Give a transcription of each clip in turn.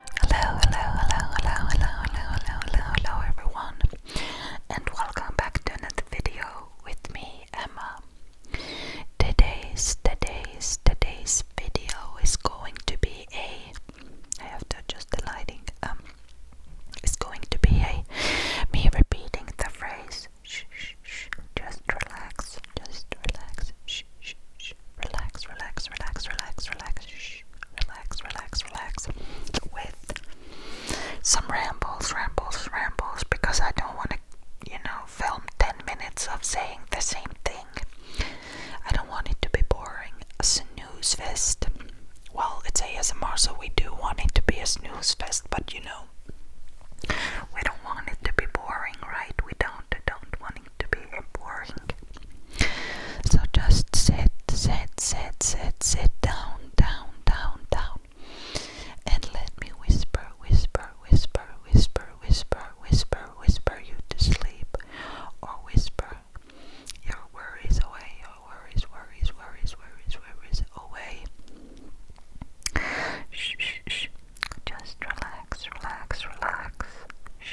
Hello, hello, hello, hello, hello, hello, hello, hello, hello, everyone, and welcome back to another video with me, Emma. Today's, today's, today's video is going to be a. I have to adjust the lighting. Um, it's going to be a me repeating the phrase. Shh, shh, shh. Just relax. Just relax. Shh, shh, shh. Relax, relax, relax, relax, relax. Shh. Relax, relax, relax. With some rambles, rambles, rambles, because I don't want to, you know, film 10 minutes of saying the same thing. I don't want it to be boring. A snooze fest. Well, it's ASMR, so we do want it to be a snooze fest, but you know, we don't want it to be boring, right? We don't, don't want to to be boring. So just sit, sit, sit, sit, sit down, down, down, down. And let me whisper, whisper, whisper, whisper, whisper, whisper, whisper you to sleep. Or whisper your worries away, your worries, worries, worries, worries, worries away. Shh, shh, Just relax, relax, relax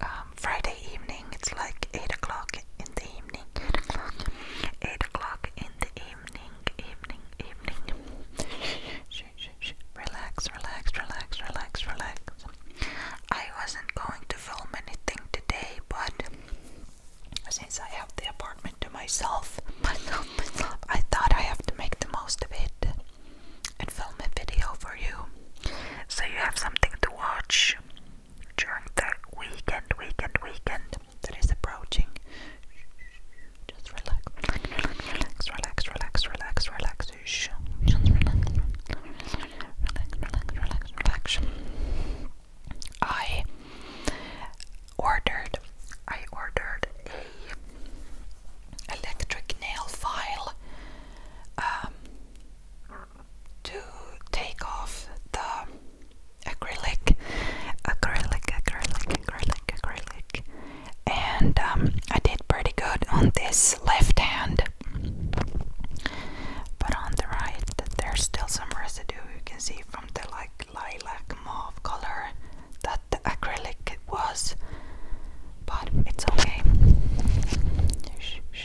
um, Friday evening. It's like eight o'clock in the evening. Eight o'clock. Eight o'clock in the evening. Evening. Evening. shh, shh, shh. Relax. Relax. Relax. Relax. Relax. I wasn't going to film anything today, but since I have the apartment to myself, myself, myself, I thought I have to make the most of it and film a video for you, so you have something to watch during the weekend, weekend, weekend that is approaching. Just relax, relax, relax, relax, relax, relax. Just relax, relax, relax, relax, relax. I ordered, I ordered a electric nail file. Um, to take off the acrylic, acrylic, acrylic, acrylic, acrylic, and um, I did pretty good on this left hand, but on the right there's still some residue. You can see from the like lilac mauve color that the acrylic was, but it's okay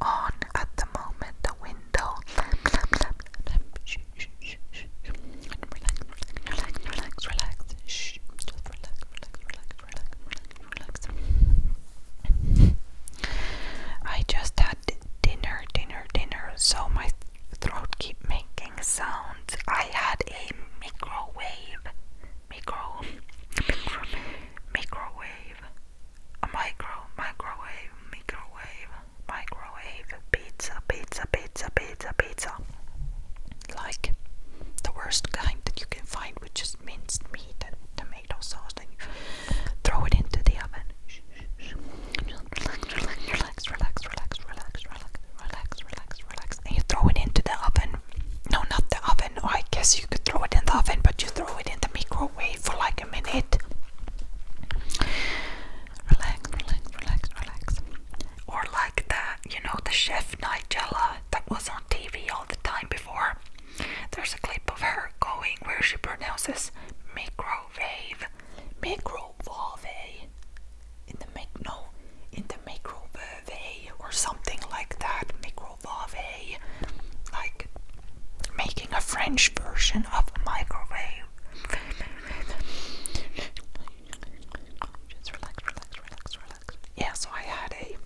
on at the moment, the window. Relax, relax, relax, relax. Shh, just relax, relax, relax, relax, relax. I just had dinner, dinner, dinner, so my throat keep making sounds. I had a microwave, microwave, microwave a micro, microwave, microwave, microwave, pizza, pizza, pizza, pizza, pizza. Like the worst kind that you can find with just minced meat and tomato sauce, and you throw it into the oven. Relax, relax, relax, relax, relax, relax, relax, relax, relax, and you throw it into the oven. No, not the oven. Oh, I guess you could throw it in the oven, but you throw it in the microwave for like a minute. Relax, relax, relax, relax. Or like the, you know, the chef Nigella that was on TV all the time before. There's a clip of her going where she pronounces microwave, microwave, in the mic no, in the microwave or something like that. Micro microwave, like making a French version of a microwave. Yeah, so I had a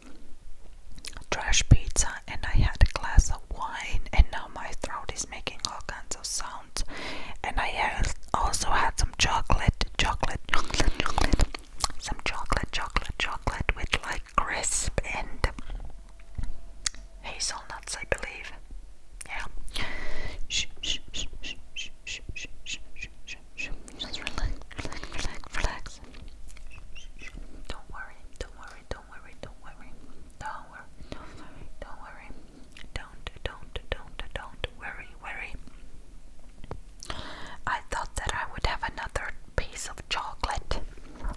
trash pizza and I had a glass of wine, and now my throat is making all kinds of sounds. And I also had some chocolate, chocolate, chocolate, chocolate, some chocolate, chocolate, chocolate with like crisp and hazelnuts, I believe. Yeah. Shh, shh, shh, shh, shh, shh, shh, shh, shh, shh. Just relax, relax, relax, relax. Don't worry, don't worry, don't worry, don't worry, don't worry, don't worry, don't worry, don't, don't, don't, don't worry, worry. I thought that I would have another piece of chocolate.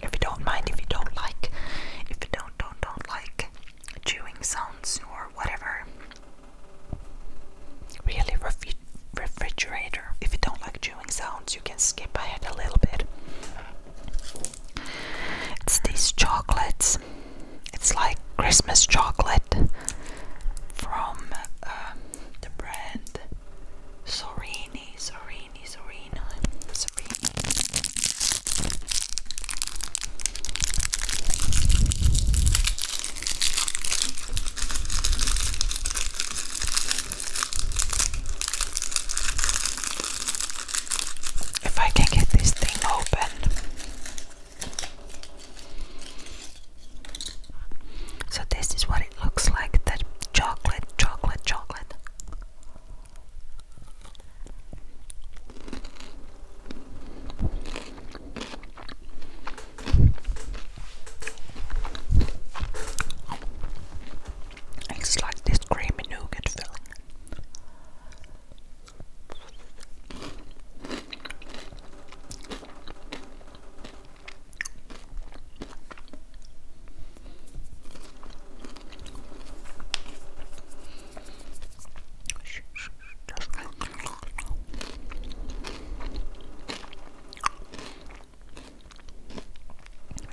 If you don't mind, if you don't like, if you don't, don't, don't like chewing sounds or whatever. Really, refi refrigerator. If you don't like chewing sounds, you can skip ahead a little bit. It's these chocolates. It's like Christmas chocolate from uh, the brand Sorini, Sorini, Sorini. If I can get this thing open, so this is what it looks like that chocolate, chocolate, chocolate. It's like this creamy nougat filling just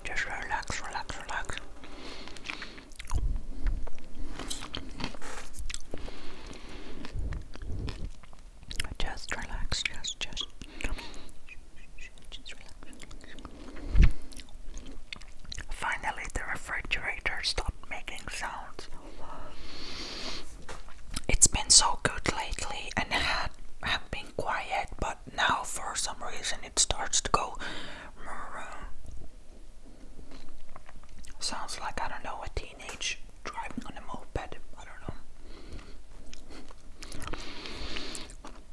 just relax, relax, relax. Just relax, just, just, Finally, the refrigerator stopped making sounds. It's been so good lately and had have been quiet, but now for some reason it starts to go. Sounds like I don't know a teenage driving on a moped. I don't know.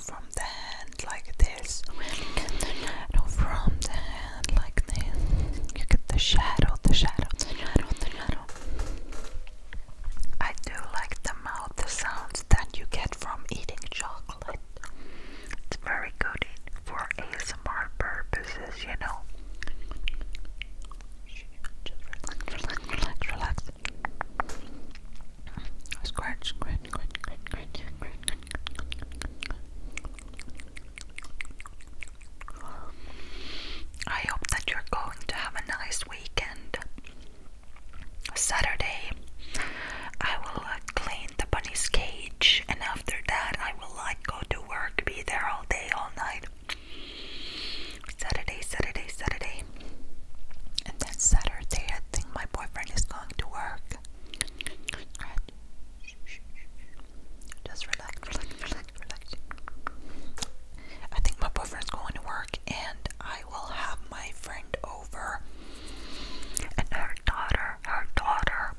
from the hand like this no from the hand like this you get the shadow the shadow the shadow the shadow I do like the mouth the sounds that you get from eating chocolate it's very good for ASMR purposes you know relax relax Scratch, scratch, scratch, I hope that you're going to have a nice weekend. Saturday, I will uh, clean the bunny's cage, and after that, I will go to work, be there all day, all night. Saturday, Saturday, Saturday. And then Saturday, I think my boyfriend is going to work. Just relax. I think my boyfriend's going to work and I will have my friend over and her daughter, her daughter.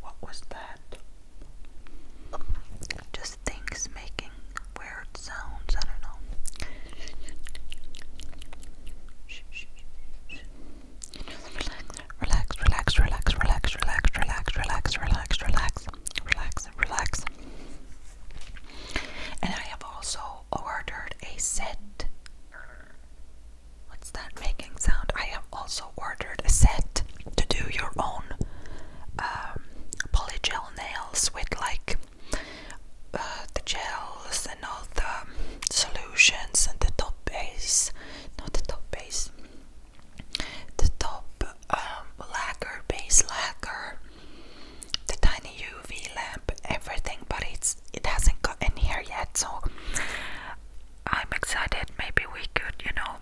What was that? Just things making weird sounds. I don't know. Relax, relax, relax, relax, relax, relax, relax, relax, relax, relax, relax. And I have also ordered a set. What's that making sound? I have also ordered a set to do your own polygel nails with like uh, the gels and all the solutions and the top base, not the top base, the top um, lacquer, base lacquer, the tiny UV lamp, everything, but it's it hasn't gotten here yet, so I'm excited. Maybe we could, you know,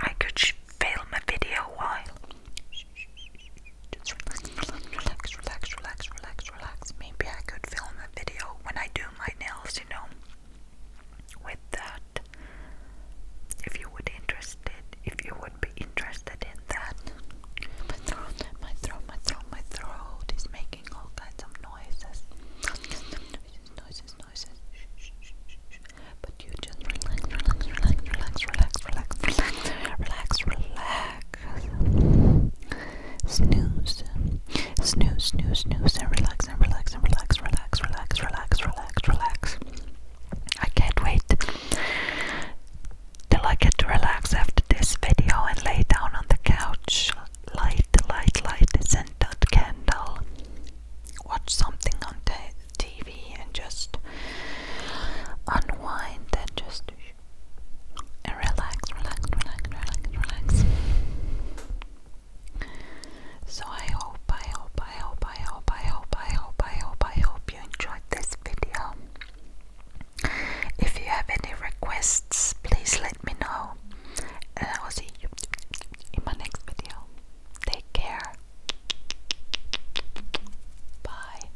I could film a video while. Just relax, relax, relax, relax, relax, relax. Maybe I could film a video when I do my nails, you know, with that. If you would interested, if you would be interested in that. My throat, my throat, my throat, my throat is making all kinds of noises. Noises, noises, But you just relax, relax, relax, relax, relax, relax, relax, relax relax. Snooze. Snooze, snooze, snooze, and relax, and relax, and relax, relax, relax, relax, relax, relax. I can't wait till I get to relax after this video and lay down on the couch. Light, light, light a scented candle. Watch something on TV and just unwind and just and relax, relax, relax, relax, relax. So I hope, I hope, I hope, I hope, I hope, I hope, I hope, I hope you enjoyed this video. If you have any requests, please let me know. And I will see you in my next video. Take care. Bye.